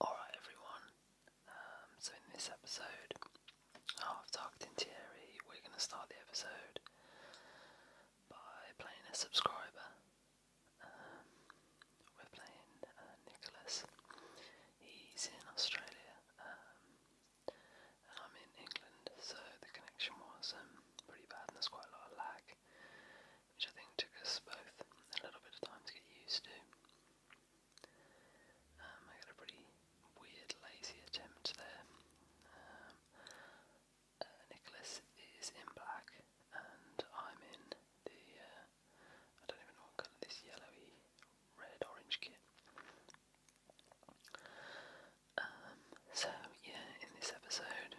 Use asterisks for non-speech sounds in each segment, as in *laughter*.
Alright, everyone, um, so in this episode of oh, Targeting Thierry, we're going to start the episode by playing a subscriber. Um, we're playing uh, Nicholas, he's in Australia, um, and I'm in England, so the connection was pretty bad, and there's quite a lot of lag which I think took us both a little bit of time to get used to. Um, I got a pretty weird, lazy attempt there. Um, uh, Nicholas is in black, and I'm in the, uh, I don't even know what colour this yellowy, red, orange kit. Um, so, yeah, in this episode,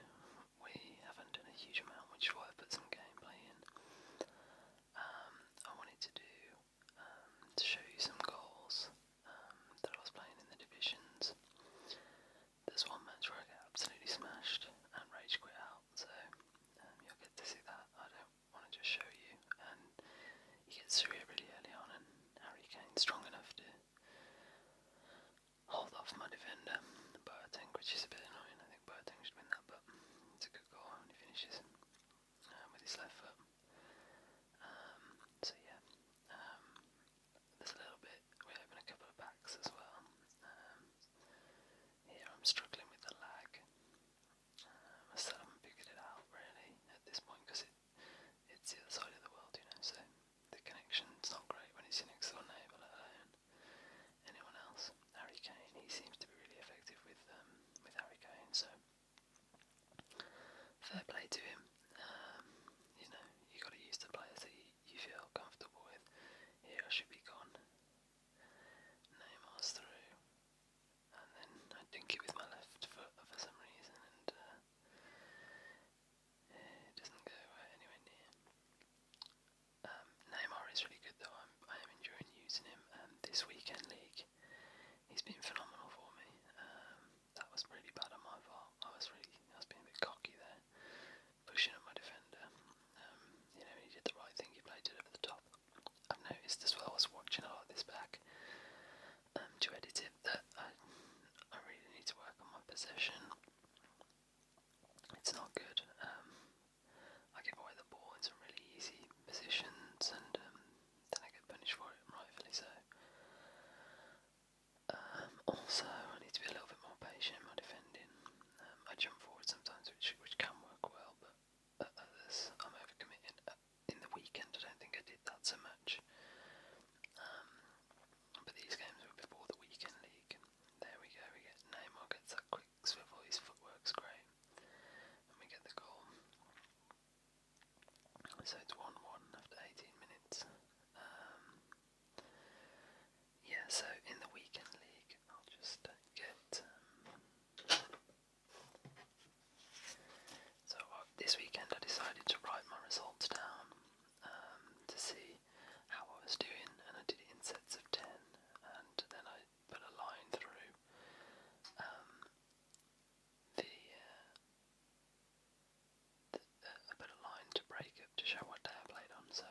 we haven't done a huge amount, which is why I put some gameplay in. Um, I wanted to do um, to show you some goals um, that I was playing in the divisions. There's one match where I got absolutely smashed and rage quit out, so um, you'll get to see that. I don't want to just show you, and he gets through it really early on, and Harry Kane's strong enough to hold off my defender, but I think which is a bit annoying think Boateng should win that, but it's a good goal he finishes um, with his left foot. Um, so yeah, um, there's a little bit. We open a couple of backs as well. here I'm struggling with the lag. Um, I still haven't figured it out really at this point because it it's the other side of the world, you know. So the connection's not great when it's your next door neighbour, anyone else. Harry Kane, he seems to be really effective with um, with Harry Kane, so fair play to him. Um, you know, you got to use the players that you, feel comfortable with. Here, I should be gone. Neymar's through, and then I dink it with my left foot for some reason, and uh, it doesn't go anywhere near. Um, Neymar is really good though. I'm, I am enjoying using him. Um, this weekend league, he's been phenomenal for me. Um, that was really bad on my part. I was really, I was being a bit cocky there, pushing at my defender. Um, you know, he did the right thing. He played it over the top. I've noticed as well as watching a lot of this back um, to edit it that I, I really need to work on my possession. It's not good. Um, I give away the ball in some really easy positions, and um, then I get punished for it, rightfully so. Um, also, I need to be a little bit more patient in my defending. I jump forward sometimes, which which can work well, but others I'm overcommitting. Uh, in the weekend, I don't think I did that so much. but these games were before the weekend league. There we go. We get Neymar gets that quick swivel, footwork's great. And we get the goal. So it's 1 1 after 18 minutes. Um, yeah, so in the weekend league, I'll just get. Um, so this weekend I decided to write my results down um, to see how I was doing, and I did it in sets of 10, and then I put a line through um, the, I uh, uh, put a line to break up to show what day I played on. So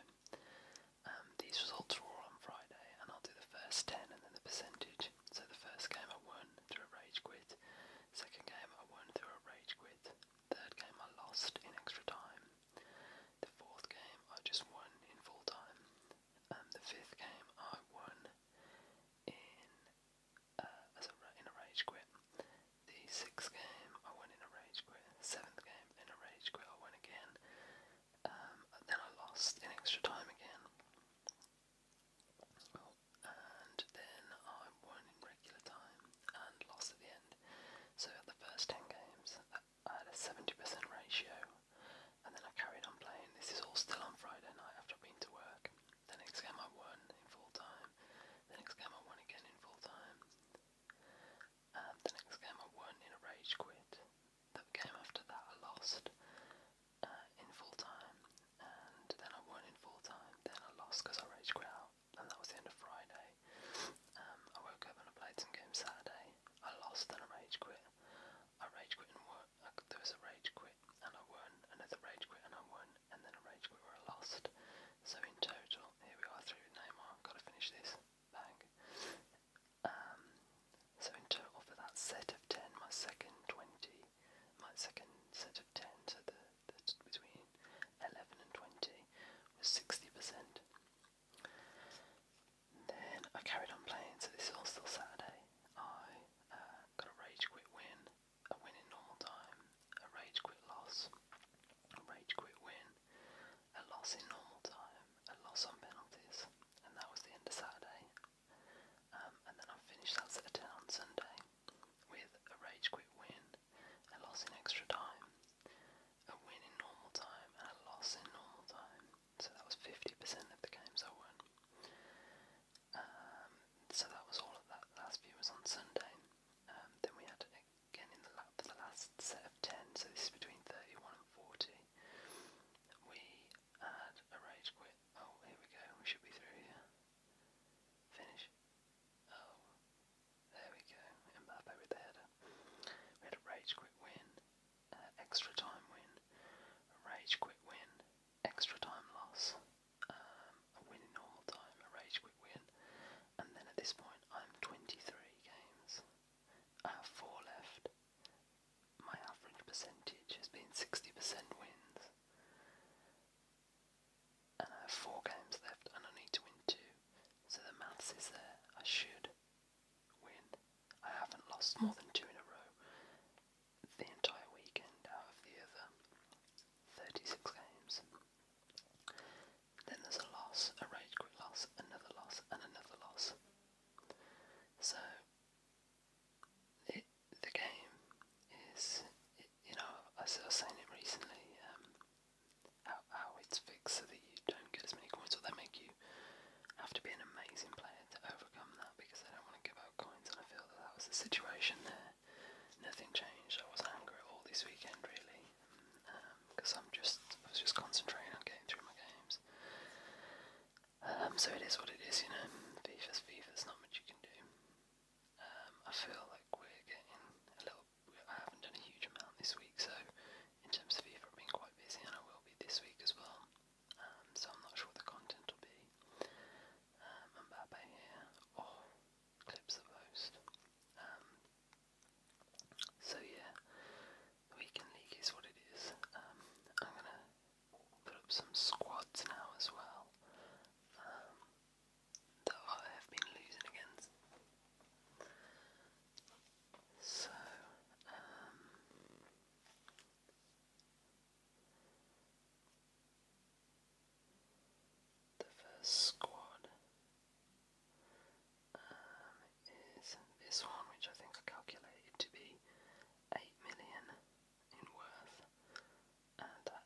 um, these results are all on Friday, and I'll do the first ten and then the percentage. So the first game I won through a rage quit. Second game I won through a rage quit. Third game I lost in extra time. The fourth game I just won in full time. Um, the fifth game I won in uh, as a, in a rage quit. The sixth game I won in a rage quit. Seventh game in a rage quit I won again. Um, and then I lost in extra time again. Oh, and then I won in regular time and lost at the end. So at the first ten games, that uh, at a 70% ratio, and then I carried on playing. This is all still on Friday night after I've been to work. The next game I won in full time. The next game I won again in full time. And the next game I won in a rage quit. The game after that I lost uh, in full time. And then I won in full time. Then I lost because I rage quit out. And that was the end of Friday. Um, I woke up and I played some games Saturday. I lost and I rage quit. I rage quit and there was a rage quit and I won. Another rage quit and I won. And then a rage quit where I lost. So in total, here we are through Neymar. Gotta finish this. Bang. Um, so in total for that set of 10, my second 20, my second set of 10, so the, the between 11 and 20 was 60%. Then I carried on playing, so this is all still Saturday. I uh, got a rage quit win, a win in normal time, a rage quit loss, a rage quit win, a loss in normal time, a loss on penalties, and that was the end of Saturday. Um, and then I finished that set of 10 on Sunday with a rage quit win, a loss in extra time, a win in normal time, and a loss in normal time, so that was 50% of the games I won. Um, so that was all of that. Last view was on Sunday. Um, then we had again in the lap for the last set of 10, so this is between 31 and 40. We had a rage quit. Oh, here we go, we should be through here. Finish. Oh, there we go, Mbappe with the header. We had a rage quit win, uh, extra time win, a rage quit win, extra time loss, um, a win in normal time, a rage quit win, and then at this point I'm 23 games. I have 4 left. My average percentage has been 60% wins. And I have 4 games left and I need to win 2. So the maths is there. I should win. I haven't lost more than two in a row the entire weekend out of the other 36 games. Then there's a loss, a rage quit loss, another loss, and another loss. So it, the game is, it, you know, I was saying it recently. Um, how, how it's fixed so that you don't get as many coins, or they make you have to be an amazing player to overcome that because I don't want to give out coins, I feel that was the situation there. Nothing changed. I was angry at all this weekend, really, because um, I'm just I was just concentrating on getting through my games. Um, so it is what it is, you know. FIFA's FIFA's not much you can do. Um, I feel like we're getting a little. I haven't done a huge amount this week, so in terms of Eva, I've quite busy and I will be this week as well, um, so I'm not sure what the content will be. Um, and Babe here, clips of most. Um, so yeah, weekend league is what it is. Um, I'm gonna put up some squads now as well. that I have been losing against. So, the first squad um, is this one, which I think I calculated to be 8 million in worth. And uh,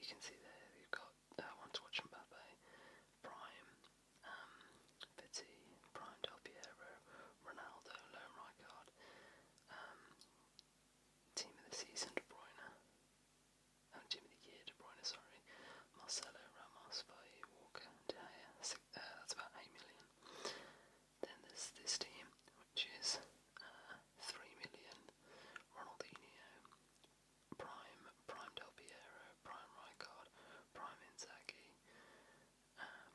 you can see there, you've got uh, One to Watch Mbappe, Prime, um, Vitti, Brian Del Piero, Ronaldo, Loam Rijkaard, um, Team of the Season, De Bruyne, oh, Team of the Year, De Bruyne, sorry, Marcelo, Ramos, Valle, Walker, uh, that's about 8 million. Then there's this team, which is uh, 3 million, Ronaldinho, Prime, Prime Del Piero, Prime Rijkaard, Prime Inzaghi,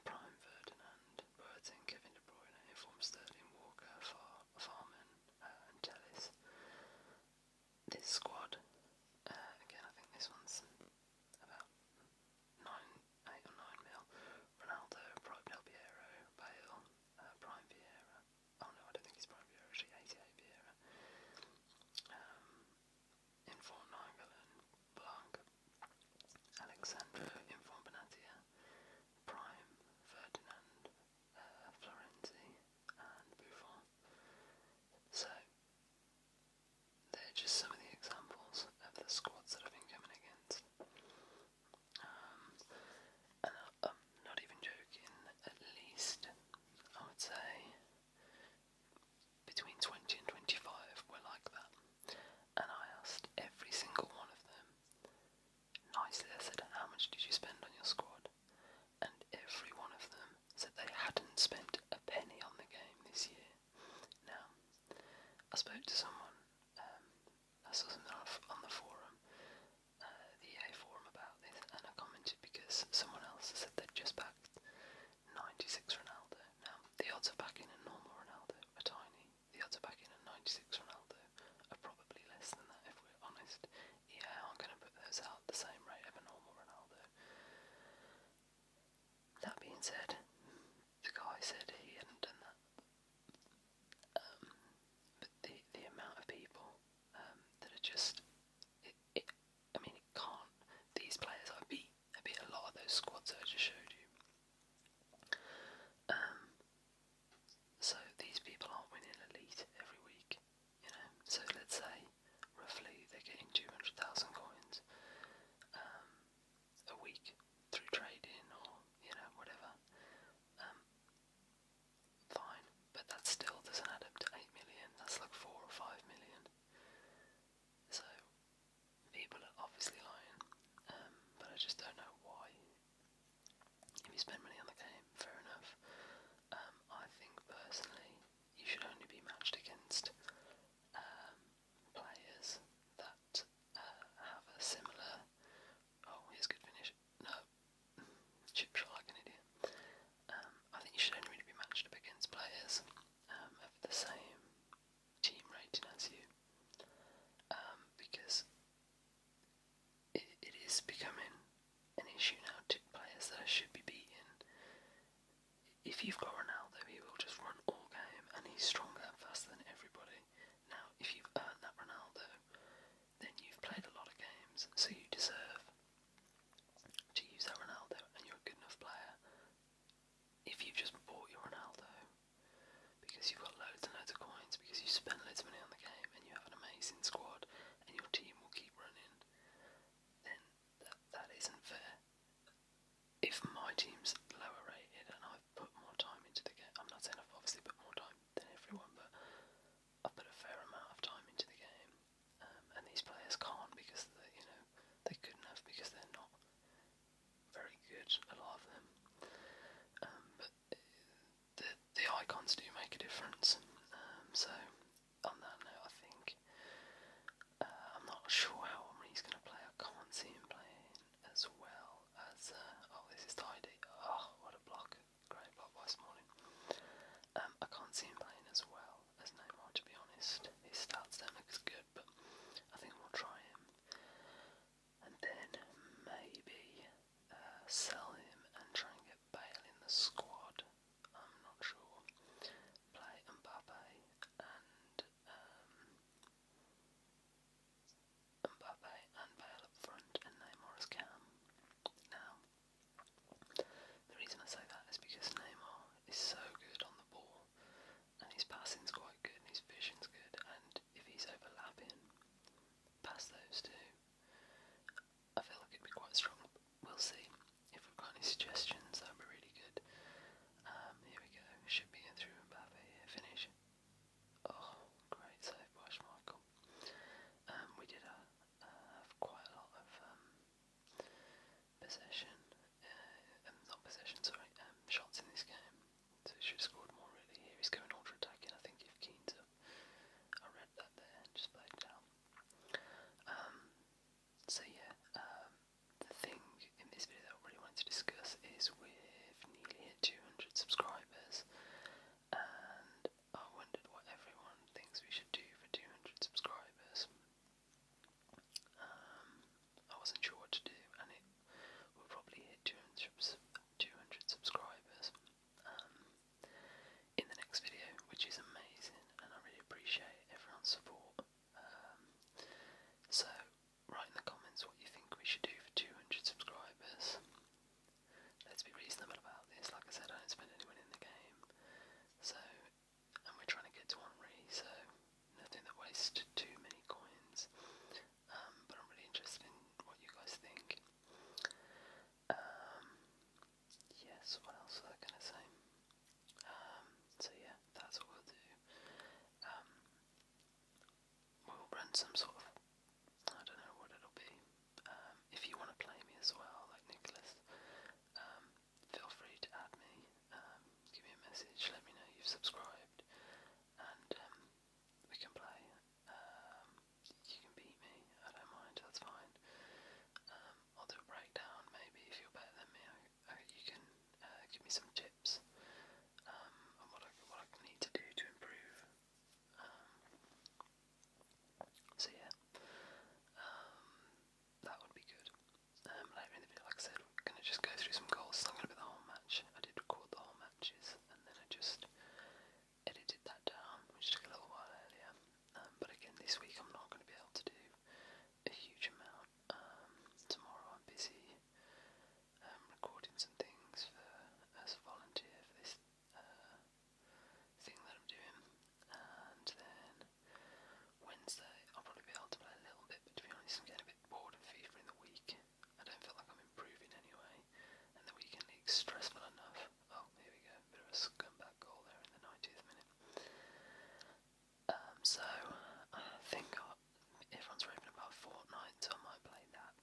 Prime Ferdinand, Boateng, Kevin De Bruyne, informed Sterling, Walker, Far Farman, uh, and Tellis. This squad, uh, again, I think this one's about nine, eight or nine mil. Ronaldo, Prime Del Bale, uh, Prime Vieira. Oh no, I don't think he's Prime Vieira. Actually, 88 Vieira. Um, informed Nagelin, Blanc, Alexandro informed Benatia, Prime, Ferdinand, uh, Florenzi, and Buffon. So, they're just some of the examples of the squads that I've been coming against. Um, not even joking, at least I would say between 20 and 25 were like that and I asked every single one of them nicely. I said, How much did you spend on your squad? And every one of them said they hadn't spent a penny on the game this year. Now, I spoke to someone, um, I saw something on, the forum, uh, the EA forum about this, and I commented because someone else said they'd just backed 96 Ronaldo. Now, the odds of backing a normal Ronaldo are tiny. The odds of backing a 96 Ronaldo are probably less than that, if we're honest. Yeah, I'm going to put those out at the same rate as a normal Ronaldo. That being said, the guy said he hadn't done that. Um, but the the amount of people um, that are just, it, I mean, it can't. These players I I a lot of those squads I just showed you. Um, so these people aren't winning elite every week, you know. So let's say roughly they're getting two hundred thousand coins um, a week through trading or you know whatever. Um, fine, but that still doesn't add up to eight million. That's like four or five million. So People are obviously lying, um, but I just don't know why. If you spend money on the game, fair enough. Um, I think personally, you should only be matched against um, players that uh, have a similar. Oh, here's a good finish. No, *laughs* chip shot like an idiot. Um, I think you should only really be matched up against players um, of the same team rating as you, because it is becoming an issue now to players that should be beating. If you've got Ronaldo, he will just run all game, and he's stronger and faster than everybody. Now, if you've earned that Ronaldo, then you've played a lot of games, so you deserve to use that Ronaldo, and you're a good enough player if you've just bought your Ronaldo because you've got loads and loads of coins, because you spent loads of money on the game and you have an amazing squad and your team will keep running, then that, that isn't fair. If my team's lower rated and I've put more time into the game, I'm not saying I've obviously put more time than everyone, but I've put a fair amount of time into the game, um, and these players can't because you know, they couldn't have because they're not very good, a lot of them. Um, but the, the icons do make a difference. Um, so, on that note, I think uh, I'm not sure how Omri's going to play. I can't see him playing as well as. Uh, oh, this is tidy. Oh, ah, what a block. Great block by Smalling. Um, I can't see him playing as well as Neymar, to be honest. His stats don't look good good, but I think we'll try him. And then maybe uh, sell him and try and get Bale in the squad. I'm not sure. Play Mbappe and um, Mbappe and Bale up front and Neymar as cam. Now, the reason I say that is because Neymar is so good on the ball and his passing's quite good and his vision's good and if he's overlapping past those two I feel like it'd be quite strong. We'll see. If we've got any suggestions that'd be really good. Um here we go. Should be in through Mbappe here. Finish. Oh great save by Schmeichel. Um we did uh, have quite a lot of um, possession uh, um, not possession, sorry, um, shots in this game. So he should have scored more really. Here he's going ultra attacking, I think, if Keane's up. I read that there and just played down. Um, so yeah, the thing in this video that I really wanted to discuss is with nearly 200 subscribers and I wondered what everyone thinks we should do for 200 subscribers. I wasn't sure what to do, and it will probably hit 200, subscribers um, in the next video, which is amazing, and I really appreciate everyone's support. Um, so, write in the comments what you think we should do for 200 subscribers. Let's be reasonable about this. Like I said, I don't spend anyone in the game, so and we're trying to get to one re, so nothing that wastes too many coins. Um, but I'm really interested in what you guys think. Um, yes, what else was I gonna say? Um, so yeah, that's what we'll do. we'll run some sort of, I don't know what it'll be. if you want to play me as well, like Nicholas, feel free to add me give me a message, let me know you've subscribed, and um, we can play. Um, you can beat me, I don't mind, that's fine. I'll um, do a breakdown maybe if you're better than me. you can uh, give me some tips on what I, need to do to improve. so yeah, that would be good later in the video. Like I said, I'm going to just go through some goals. It's not going to be the whole match. I did record the whole matches and then I just edited that down, which took a little while earlier. Um, but again, this week I'm not going to be able to do a huge amount. Um, tomorrow I'm busy um, recording some things for as a volunteer for this uh, thing that I'm doing. And then Wednesday I'll probably be able to play a little bit, but to be honest, I'm getting a bit bored of FIFA in the week. I don't feel like I'm improving anyway. And the weekend league's stressful enough. Oh, here we go. Bit of a scumbag goal there in the 90th minute. Um, so, I think everyone's raving about Fortnite, so I might play that.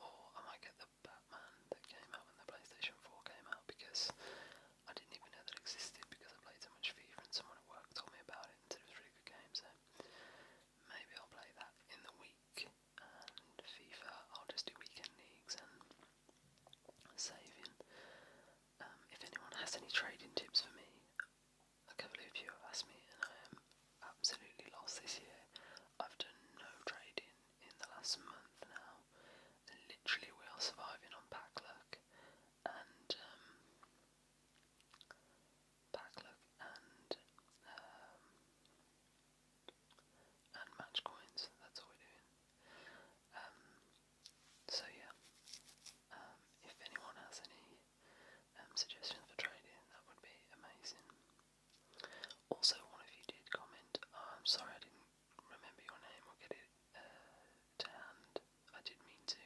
Or I might get the Batman that came out when the PlayStation 4 came out because I didn't even know that existed because I played so much FIFA and someone at work told me about it and said it was really good game, so Maybe I'll play that in the week, FIFA I'll just do weekend leagues and saving. Um, if anyone has any trading tips for me, a couple of you have asked me, and I am absolutely lost this year. I've done no trading in the last month now. Literally, we are surviving on pack luck, and um, Packluck and um, and match coins. That's all we're doing. Um, so yeah, um, if anyone has any suggestions for trading, that would be amazing. Also, one of you did comment. Oh, I'm sorry, I didn't remember your name. i get it uh, I did mean to.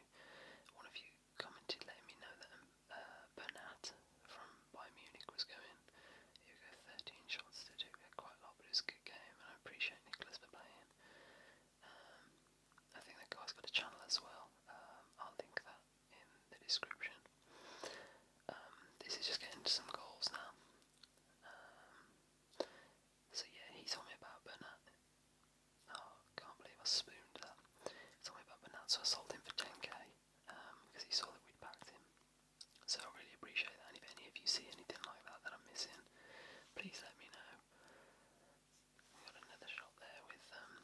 One of you commented letting me know that uh, Bernat from Bayern Munich was going. He'll 13 shots to do quite a lot, but it was a good game, and I appreciate Nicholas for playing. Um, I think that guy's got a channel as well. Um, I'll link that in the description. Um, this is just getting to some goals now. so yeah, he told me about Bernat. Oh, can't believe I spooned that. He told about Bonanza, I sold him for 10k um, because he saw that we'd backed him. So I really appreciate that, and if any of you see anything like that that I'm missing, please let me know. we got another shot there with, um,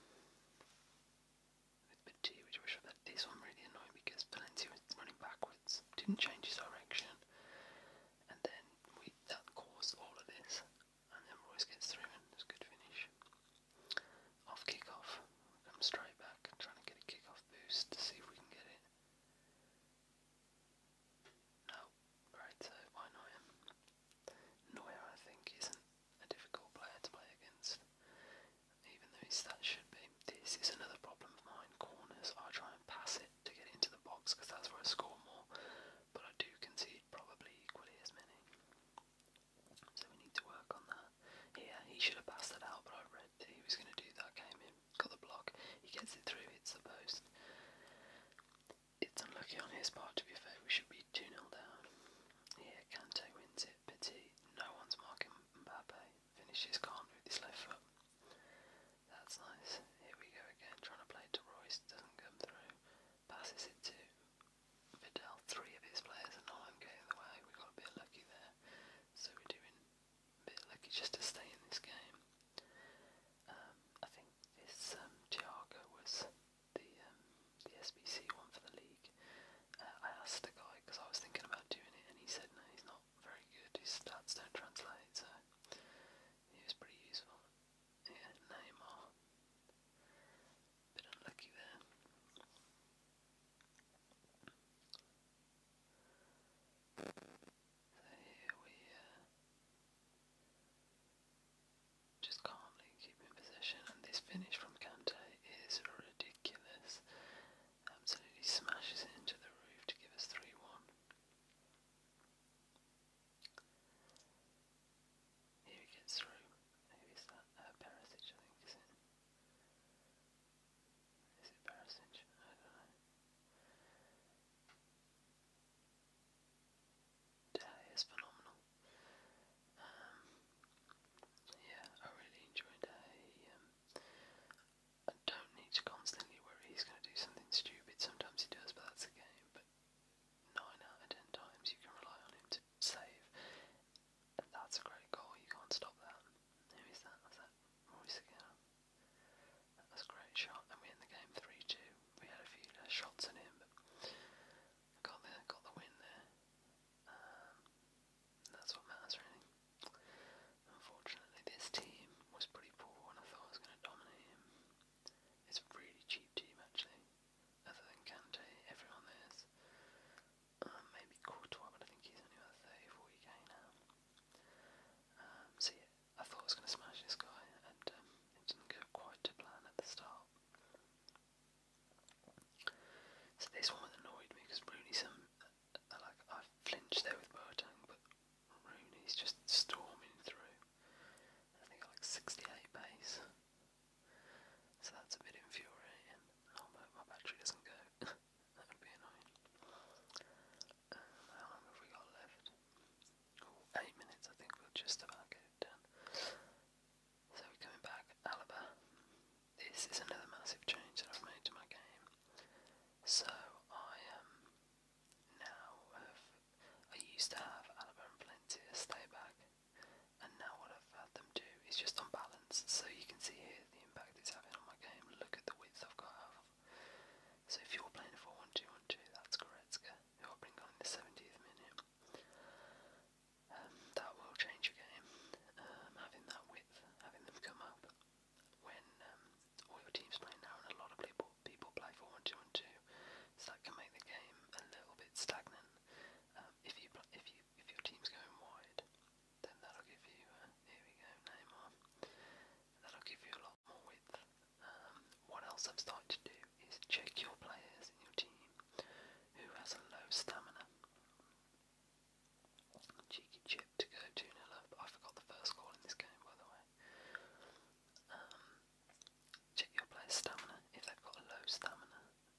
with Bid which I This one really annoying because Valencia was running backwards, didn't change his direction, and then we that caused all of this and then Royce gets through it's a good finish. Off kickoff, come straight back trying to get a kickoff boost to see if we can get it. No, right, so why not him? Neuer, I think, isn't a difficult player to play against, even though his should be. This is another problem of mine. Corners, I try and pass it to get into the box because that's where I score more, but I do concede probably equally as many. So we need to work on that. Here, he should have passed that out, but I read that he was going to do that. Came in, got the block. He gets it through, It's the post. It's unlucky on his part, to be fair. We should be 2 0 down. Here, Kante wins it. Petit, no one's marking Mbappe. Finishes calm with his left foot. That's nice. Here we go again, trying to play to Royce. Doesn't come through passes it to Vidal. Three of his players are not getting the way. We got a bit lucky there, so we're doing a bit lucky just to stay in this game. Um, I think this um, was the um, the SBC one for the league. Uh, I asked the guy because I was thinking about doing it, and he said no, he's not very good. His stats don't translate, so he was pretty useful. Yeah, Neymar. Bit unlucky we uh, just calmly keep in possession, and this finish from Kante is ridiculous. Absolutely smashes into the roof to give us 3 1. Here he gets through. Who is that? Uh, Perisic, I think, is it? Is it Perisic? Day is phenomenal. Um, yeah, I really enjoyed Day. Um, I don't need to constantly worry he's going to do something stupid. Sometimes he does, but that's the game. But nine out of ten times you can rely on him to save. That's a great goal, you can't stop that. Who is that? Was that Royce again? That was a great shot, and we end the game 3 2. We had a few uh, shots in him, but got the, got the win there. Um, that's what matters, really. Unfortunately, this team was pretty poor, and I thought I was going to dominate him. It's a really cheap team, actually other than Kante, everyone there is. Um, maybe Courtois, but I think he's only about 30, now. Um, I thought I was going to smash this guy, and um, it didn't go quite to plan at the start. So this one annoyed me because Rooney, some uh, uh, like I flinched there with Boateng, but Rooney's just storming through. I think like 68 pace. So that's a bit infuriating. oh, my battery doesn't go. *laughs* that would be annoying. Um, how long have we got left? eight minutes, I think we'll just about get done. So we're coming back, Alaba. This is another massive change that I've made to my game. So I um now I used to have Alaba and Plenty stay back and now what I've had them do is just on balance. So you can see here the impact it's having on my game. Look at the width I've got So if you're playing 4 1 2 1 2, that's correct. who I bring on in the 70th minute. Um, that will change your game. Um, having that width, having them come up when um, all your team's playing now, and a lot of people people play 4 1 can make the game a little bit stagnant. if you if you if your team's going wide, then that'll give you, uh, here we go, Neymar, that'll give you a lot more width. Um, what else I've started to do is check your players in your team who has a low stamina. Cheeky chip to go 2 0 up. I forgot the first goal in this game, by the way. Um, check your player's stamina. If they've got a low stamina,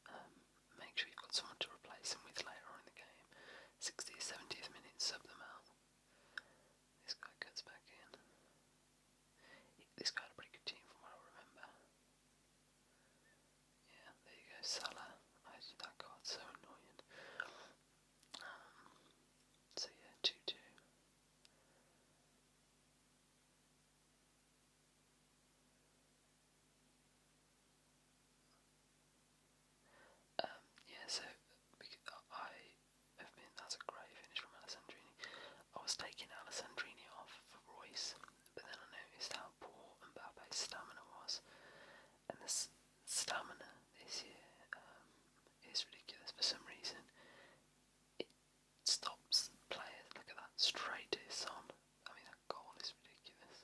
um, make sure you've got someone to replace them with later on in the game. 60th, 70th minute, sub them out. This guy cuts back in. This guy a pretty good team from what I remember. Yeah, there you go, Salah. I hated that card, so annoying. Um, so yeah, 2 2. Um, yeah, so I have been, that's a great finish from Alessandrini. I was taking Alessandrini off for Royce, but then I noticed how poor and Mbappe's stamina was. And this stamina this year um, is ridiculous for some reason. It stops players, look at that, straight to his son. I mean, that goal is ridiculous.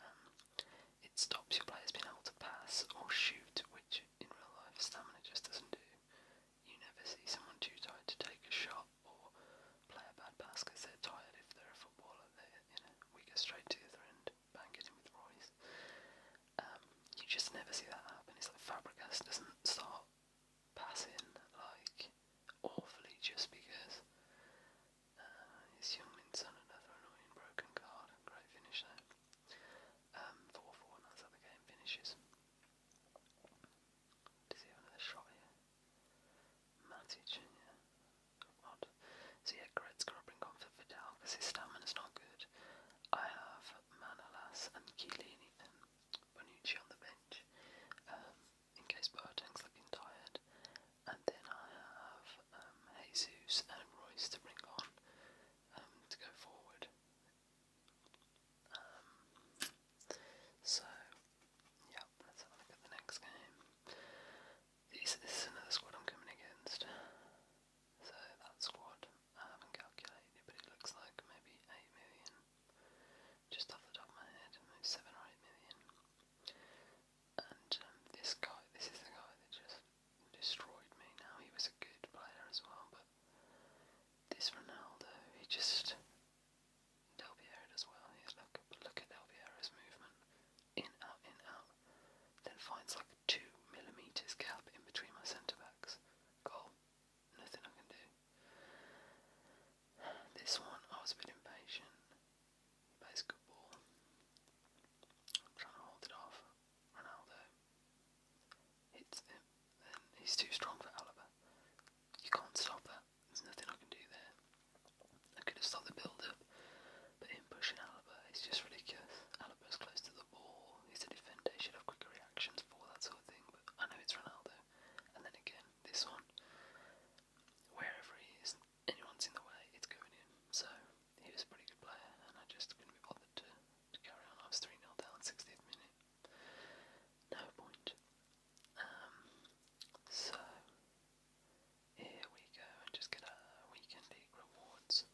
Um, it stops your players being able to pass or shoot, which in real life stamina just doesn't do. You never see someone too tired to take a shot or play a bad pass because they're tired. If they're a footballer, they you know we go straight to the other end, bang it in with Royce. Um, you just never see that happen. It's like Fabregas doesn't start passing like awfully just because uh, his younglings on another annoying broken card. Great finish there. Um, 4 4, that's how the game finishes. Does he have another shot here? Matic, yeah. So yeah, Gret's bring on for because his stamina's not good. I have Manolas and Chiellini and Bonucci on the bench. Um, in case Boateng's looking tired. And then I have um, Jesus and Royce to bring on um, to go forward. Um, so, yeah, let's have a look at the next game. This, this is another squad I'm coming against. So that squad, I haven't calculated but it looks like maybe 8 million just off the top of my head, seven or eight million. And um, this guy, this is the guy that just destroyed me. Now he was a good player as well, but this Ronaldo, he just Del Piero does well. look, look at Del Piero's movement, in out, in out. Then finds like a two millimeters gap in between my centre backs. Goal. Nothing I can do. This one, I was a bit impatient. He plays I'm trying to hold it off. Ronaldo hits him. Then he's too strong for Alaba. You can't stop that. There's nothing I can do there. I could have stopped the build-up, but him pushing Alaba is just ridiculous. Alaba's close to the ball. He's a defender. He should have quicker reactions for that sort of thing. But I know it's Ronaldo. And then again, this one wherever he is, anyone's in the way, it's going in. So he was a pretty good player, and I just couldn't be bothered to, to go around. I was 3 0 down, 60th minute. No point. Um, so here we go and just get our weekend league rewards.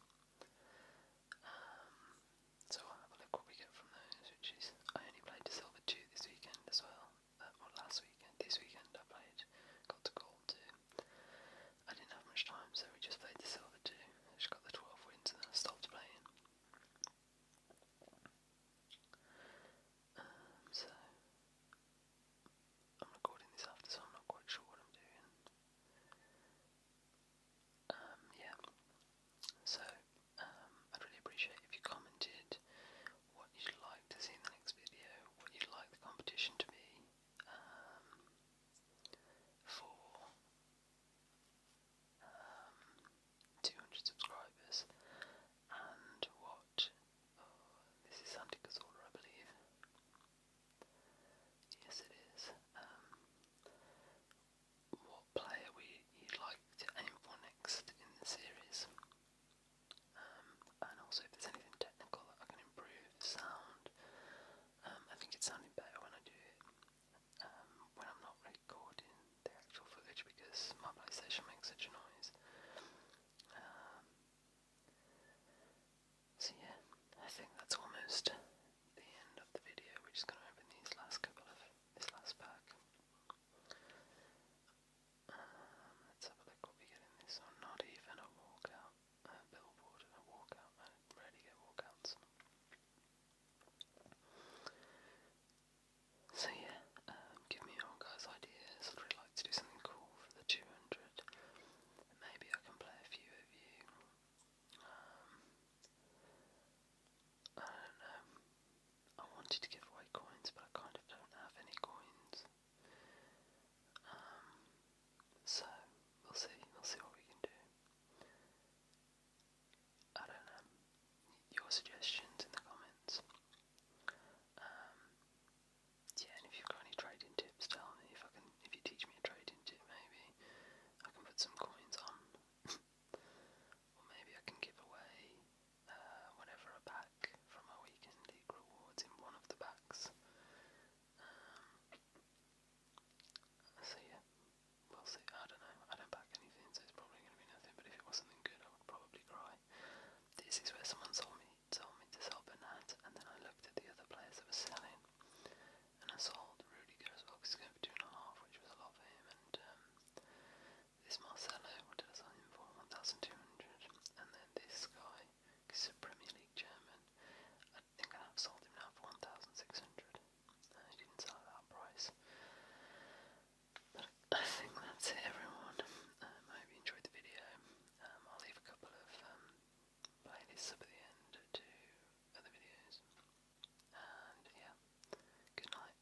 Um, so I'll have a look what we get from those, which is I only played to silver two this weekend as well, uh, last weekend, this weekend I played, got to gold too. I didn't have much time, so we just played the silver too. I just got the 12 wins and I stopped playing. Um, so, I'm recording this after, so I'm not quite sure what I'm doing. Um, yeah. So, um, I'd really appreciate if you commented what you'd like to see in the next video, what you'd like the competition to be um, for um, 200 subscribers, and what oh, this is Sandy I believe. Yes, it is. Um, what player we you'd like to aim for next in the series? Um, and also if there's anything technical I can improve, the sound. Um, I think it's sounding better when I do it um, when I'm not recording the actual footage because my PlayStation makes such a noise. Um, so yeah, I think that's almost the end of the video. We're just going to open these last couple of this last pack. Um, not even a walkout, billboard and a walkout. I rarely get walkouts. So yeah, um, give me your guys' ideas. I'd really like to do something cool for the 200. Maybe I can play a few of you. Um, I don't know. I wanted to give away coins, but I kind of don't have any coins. Um, so we'll see. We'll see what we can do. I don't know. Your suggestions in the comments. Um, yeah, and if you've got any trading tips, tell me. If I can, if you teach me a trading tip, maybe I can put some coins on, *laughs* or maybe I can give away uh, whenever a pack from our weekend league rewards in one of the packs. Um, so yeah, we'll see. I don't know. I don't back anything, so it's probably going to be nothing. But if it was something good, I would probably cry. This is where someone told me told me to sell Bernat, and then I looked at the other players that were selling, and I sold Rudiger as well because he's going for two and a half, which was a lot for him. And um, this Marcelo will do him for 1,200. And then this guy, he's a Premier League chairman, I think I have sold him now for 1,600. No, uh, didn't sell at that price. But I think that's it, everyone. Um, I hope you enjoyed the video. Um, I'll leave a couple of um, playlists up at the end to other videos. And yeah, good night.